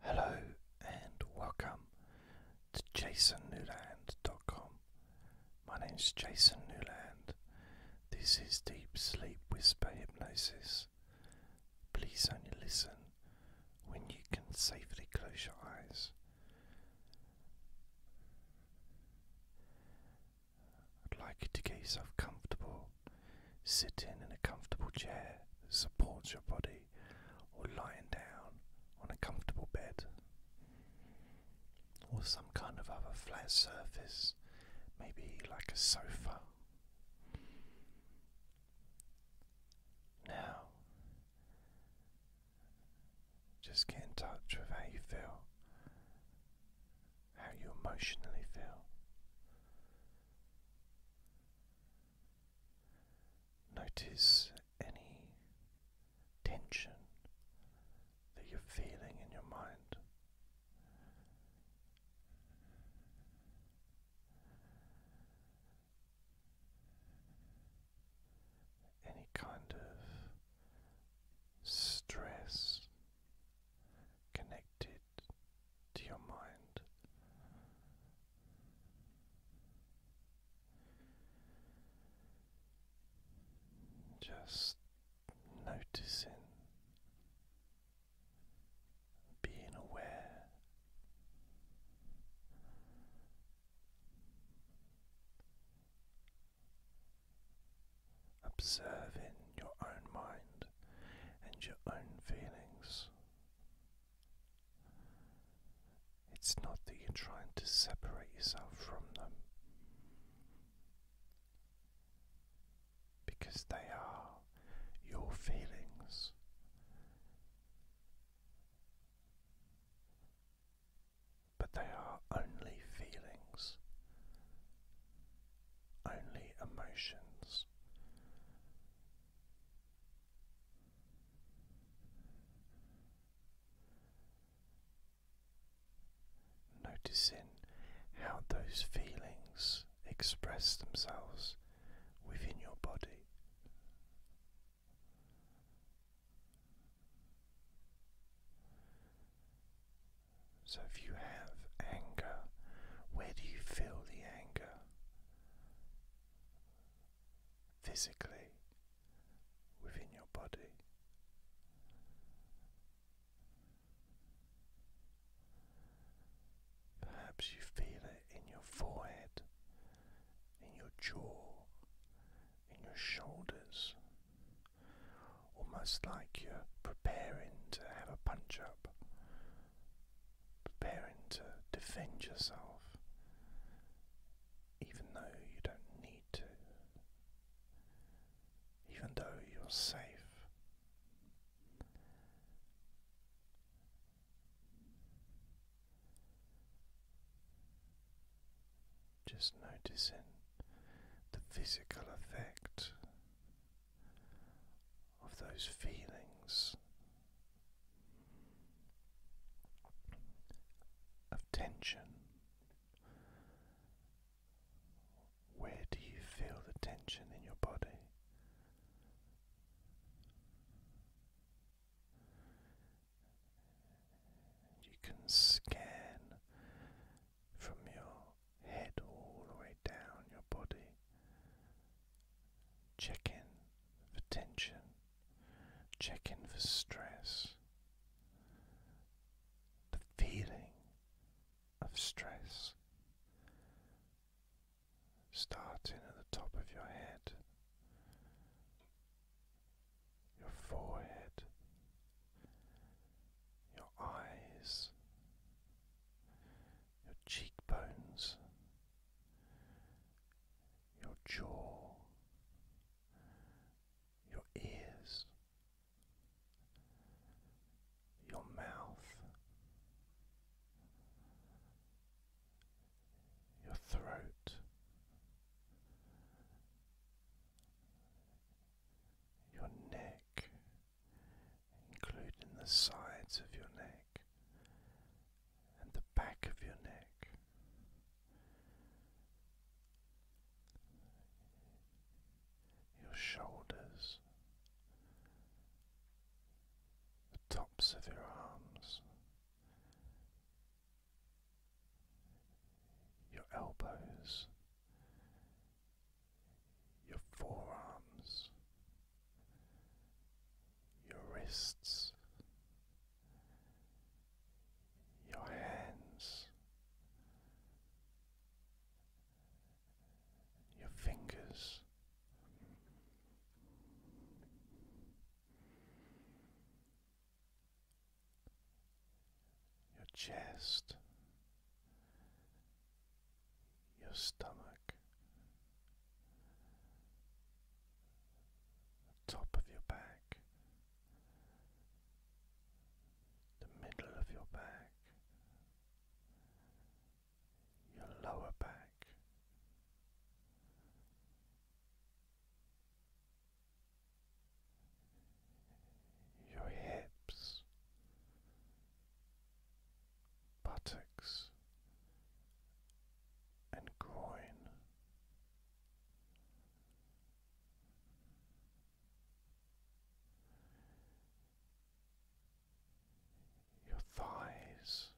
Hello and welcome to jasonnewland.com. My name is Jason Newland. This is Deep Sleep Whisper Hypnosis. Please only listen when you can safely close your eyes. I'd like you to get yourself comfortable. Sit in in a comfortable chair that supports your body or lying down on a comfortable bed or some kind of other flat surface, maybe like a sofa. Now, just get in touch with how you feel, how you emotionally feel. Notice any tension that you're feeling in your mind. Any kind of stress connected to your mind. Just noticing, being aware. Observing your own mind and your own feelings it's not that you're trying to separate yourself from them because they are your feelings. But they are only feelings, only emotions. Noticing how those feelings express themselves within your body. So, if you have anger, where do you feel the anger? physically within your body. Perhaps you feel it in your forehead, in your jaw, in your shoulders, almost like you're preparing to have a punch up preparing to defend yourself, even though you don't need to, even though you're safe. Just noticing the physical effect of those feelings of tension. Where do you feel the tension in your body? You can scan from your head all the way down your body Check in for tension, Check in for stress. The feeling of stress starting at the top of your head, your forehead, your eyes, your cheekbones, your jaw, your ears, your mouth, your throat, your neck, including the sides of your neck and the back of your neck. Your shoulders, the tops of your arms, your elbows, your forearms, your wrists, your hands, your fingers. Your chest, your stomach, top of your back, the middle of your back, your lower back. Your hips, buttocks and groin. Your thighs,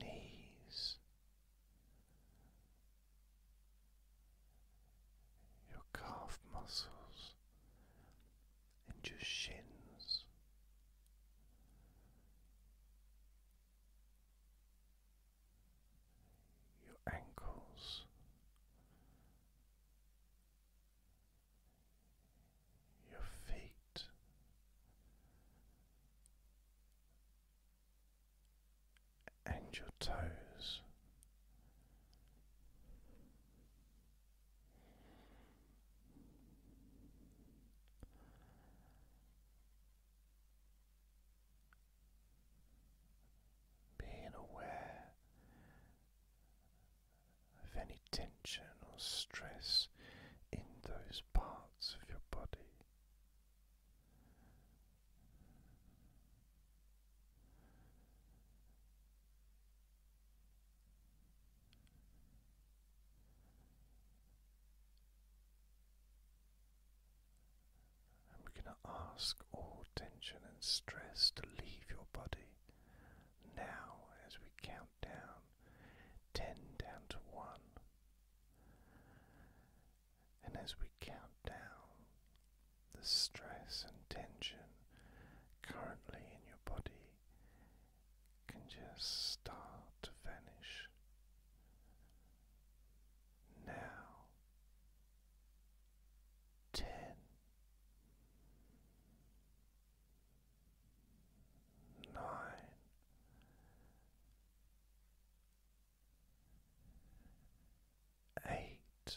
knees, your calf muscles and your shins. Your ankles, your feet, and your toes, being aware of any tension or stress in those parts of your body we're going to ask all tension and stress to leave your body now as we count down 10 down to 1. And as we count down, the stress and tension currently in your body can just start to vanish now. Ten, nine, eight,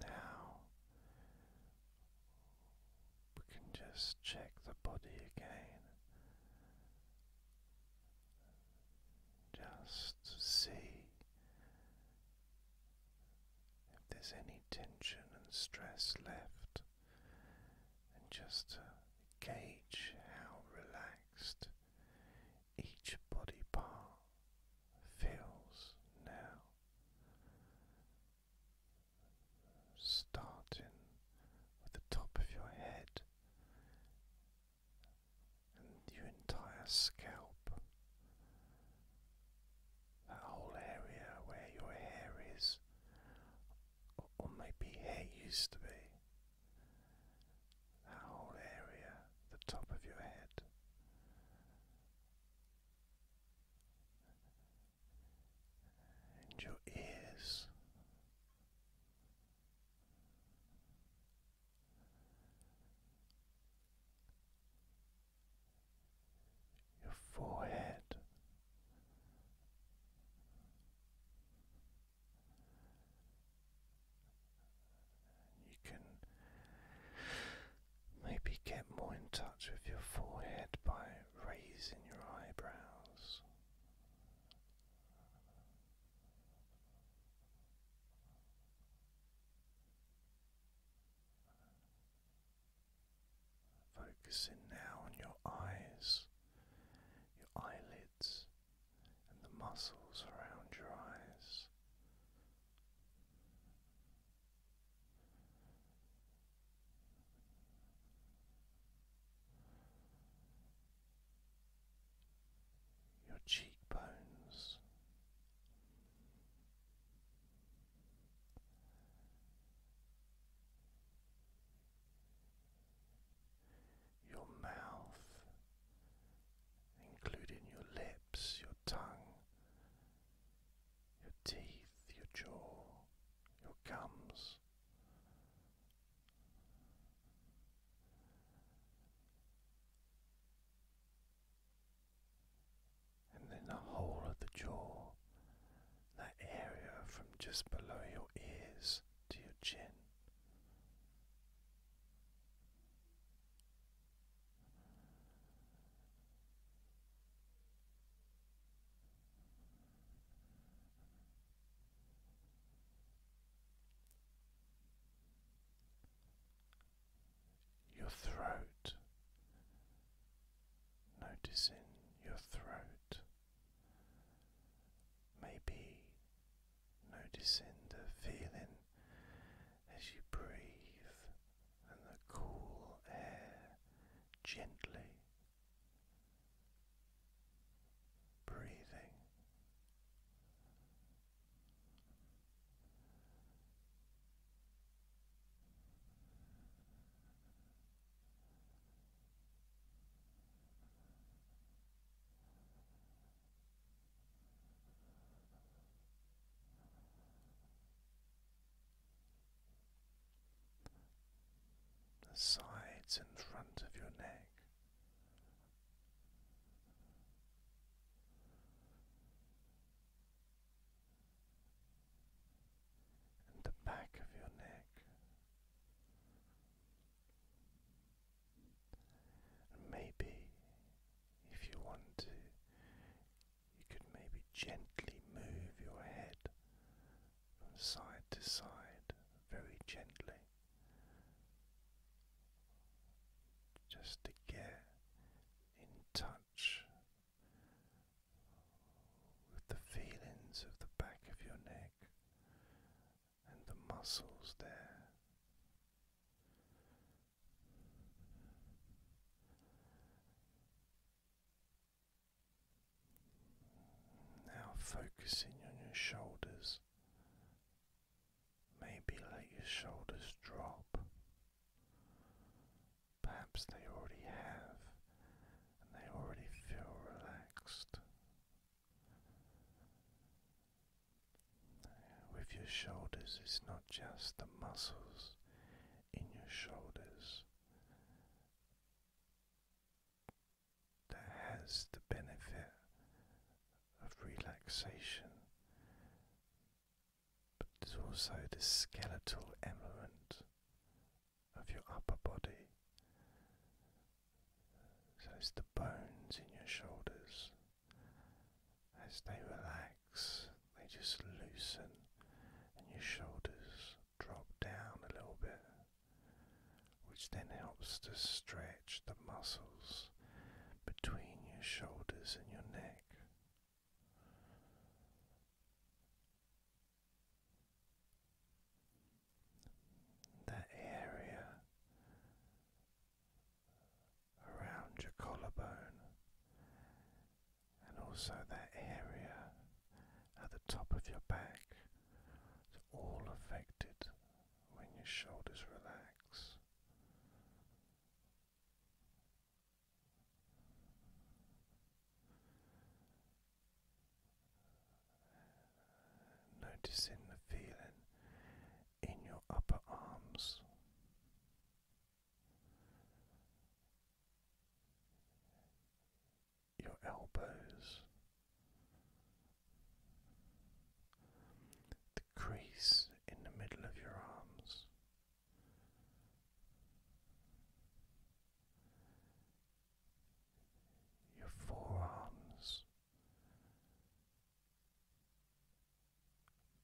now we can just check the body again just see if there's any tension and stress left, and just gauge how relaxed each body part feels now. Starting with the top of your head and your entire scalp, that whole area where your hair is, or maybe hair used to be, that whole area, the top of your head. And your ears, your forehead, you can maybe get more in touch with your forehead by raising your eyebrows. Focusing now on your eyes, your eyelids, and the muscles around your eyes. Your cheekbones your mouth, including your lips, your tongue, your teeth, your jaw, your gums and then the whole of the jaw, that area from just below your ears to your chin your throat, noticing your throat, maybe noticing the feeling as you breathe and the cool air gently. Breathing the sides in front of your neck and the back of your neck. maybe, if you want to, you could maybe gently move your head from side to side very gently just to get in touch with the feelings of the back of your neck and the muscles there. Now, focusing on your shoulders Maybe let your shoulders drop. Perhaps they already have and they already feel relaxed. With your shoulders, it's not just the muscles in your shoulders that has the benefit of relaxation, but there's also the skeletal element of your upper body. So it's the bones in your shoulders. As they relax, they just loosen and your shoulders drop down a little bit, which then helps to stretch the muscles between your shoulders and your neck. That area around your collarbone, and also that area at the top of your back, it's all affected when your shoulders relax. Noticing the feeling in your upper arms, your elbows, the crease in the middle of your arms. Your forearms,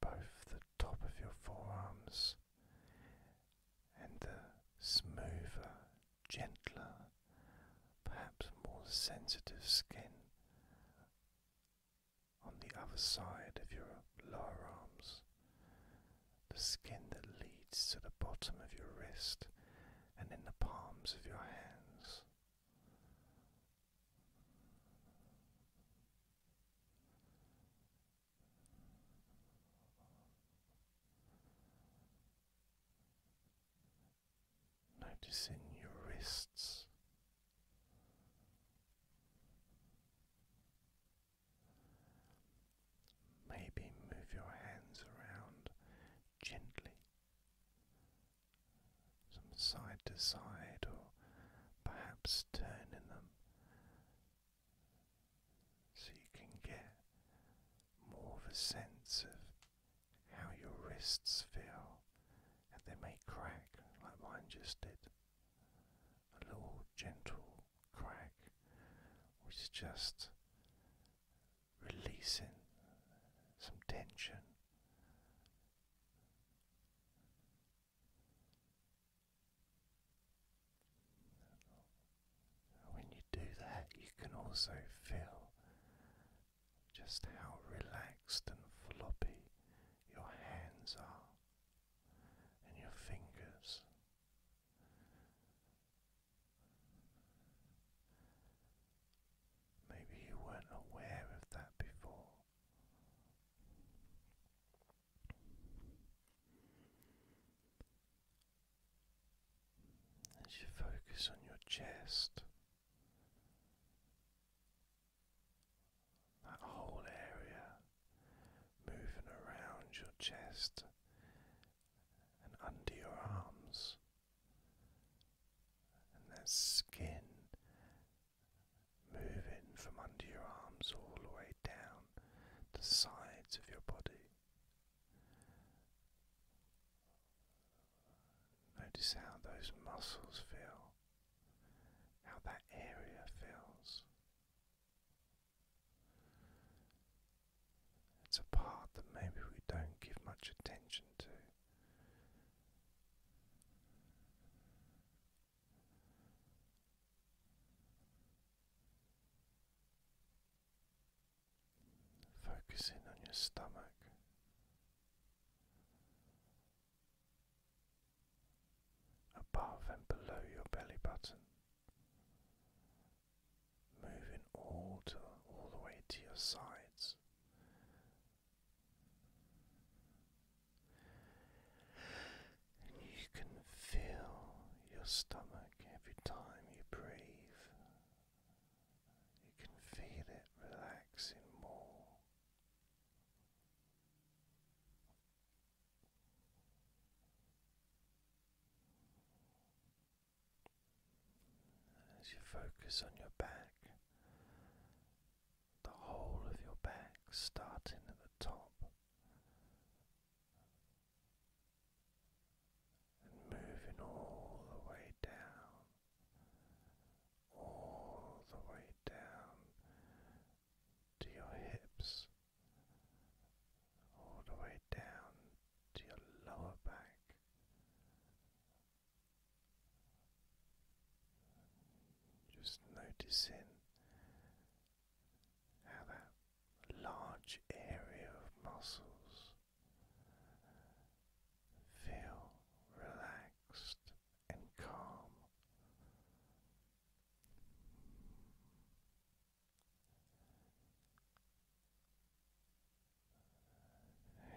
both the top of your forearms and the smoother, gentler, perhaps more sensitive skin on the other side of your lower arms, the skin that leads to the bottom of your wrist and in the palms of your hands. Noticing your wrists Maybe move your hands around gently, some side to side, or perhaps turning them so you can get more of a sense of how your wrists feel and they may crack like mine just did. A little gentle crack, which is just releasing some tension. When you do that, you can also feel just how relaxed and floppy your hands are and your fingers. Maybe you weren't aware of that before. As you focus on your chest. That whole area moving around your chest and under your arms, and that skin moving from under your arms all the way down the sides of your body. Notice how those muscles feel how that area feels. It's a part that maybe we don't give much attention to. Focusing on your stomach, above and below your belly button, moving all to all the way to your sides. And you can feel your stomach every time you breathe. You can feel it relaxing more as you focus on your back, the whole of your back starting at the top and moving all the way down all the way down to your hips, all the way down to your lower back. Just noticing how that large area of muscles feel relaxed and calm.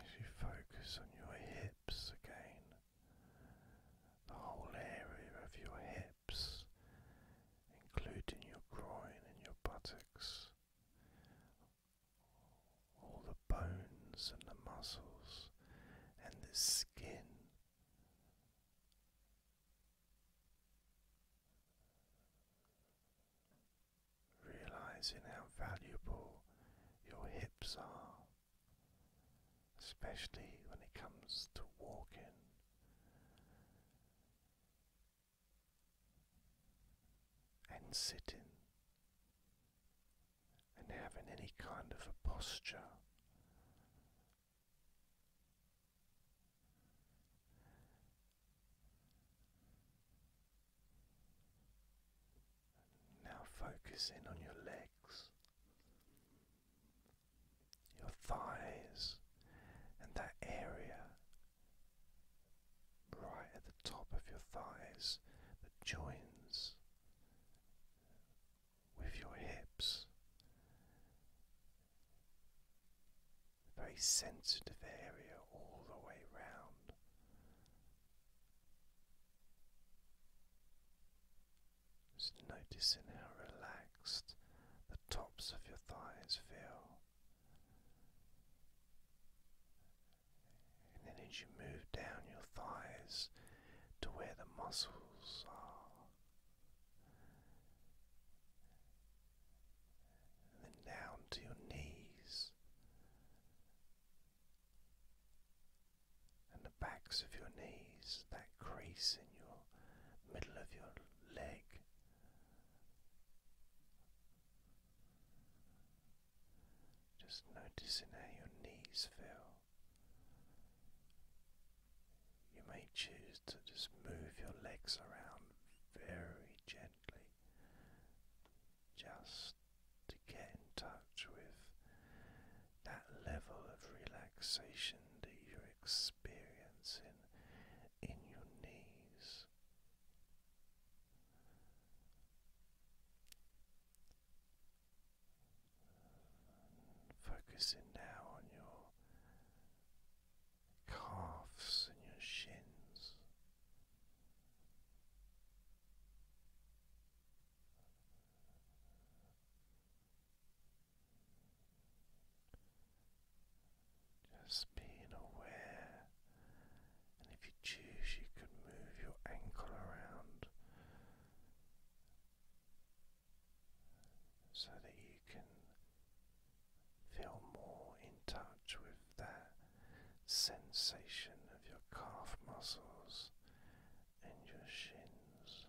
As you focus on your hips again, the whole area of your hips, including your groin and your buttocks, all the bones and the muscles and the skin. Realizing how valuable your hips are, especially when it comes to walking. And sitting, and having any kind of a posture. Now focus in on your legs, your thighs, and that area right at the top of your thighs that joins with your hips, a very sensitive area all the way round. Just noticing how relaxed the tops of your thighs feel. And then as you move down your thighs, to where the muscles are. then down to your knees and the backs of your knees, that crease in your middle of your leg. Just noticing how your knees feel. You may choose to just move your legs around very gently just to get in touch with that level of relaxation that you're experiencing in your knees. Focusing now on your calves and your shins. Just being aware, and if you choose, you can move your ankle around so that you can feel more in touch with that sensation of your calf muscles and your shins.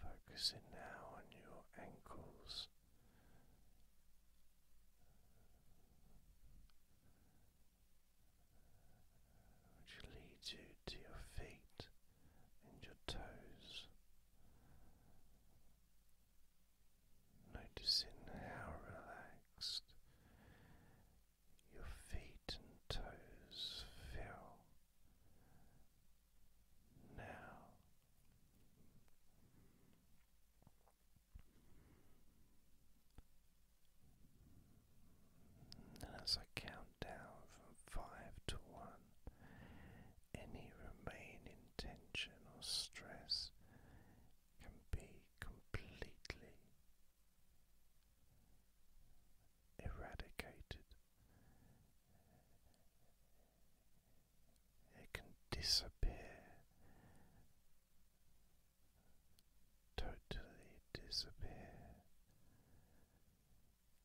Focusing now on your ankles which leads you to your feet and your toes. Noticing how relaxed your feet and toes feel now and as I count down from five to one, any remaining tension or stress can be completely eradicated it can disappear, totally disappear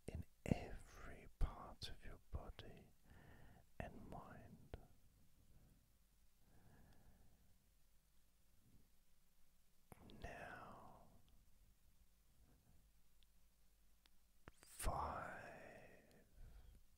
in every part of your body and mind. Now, five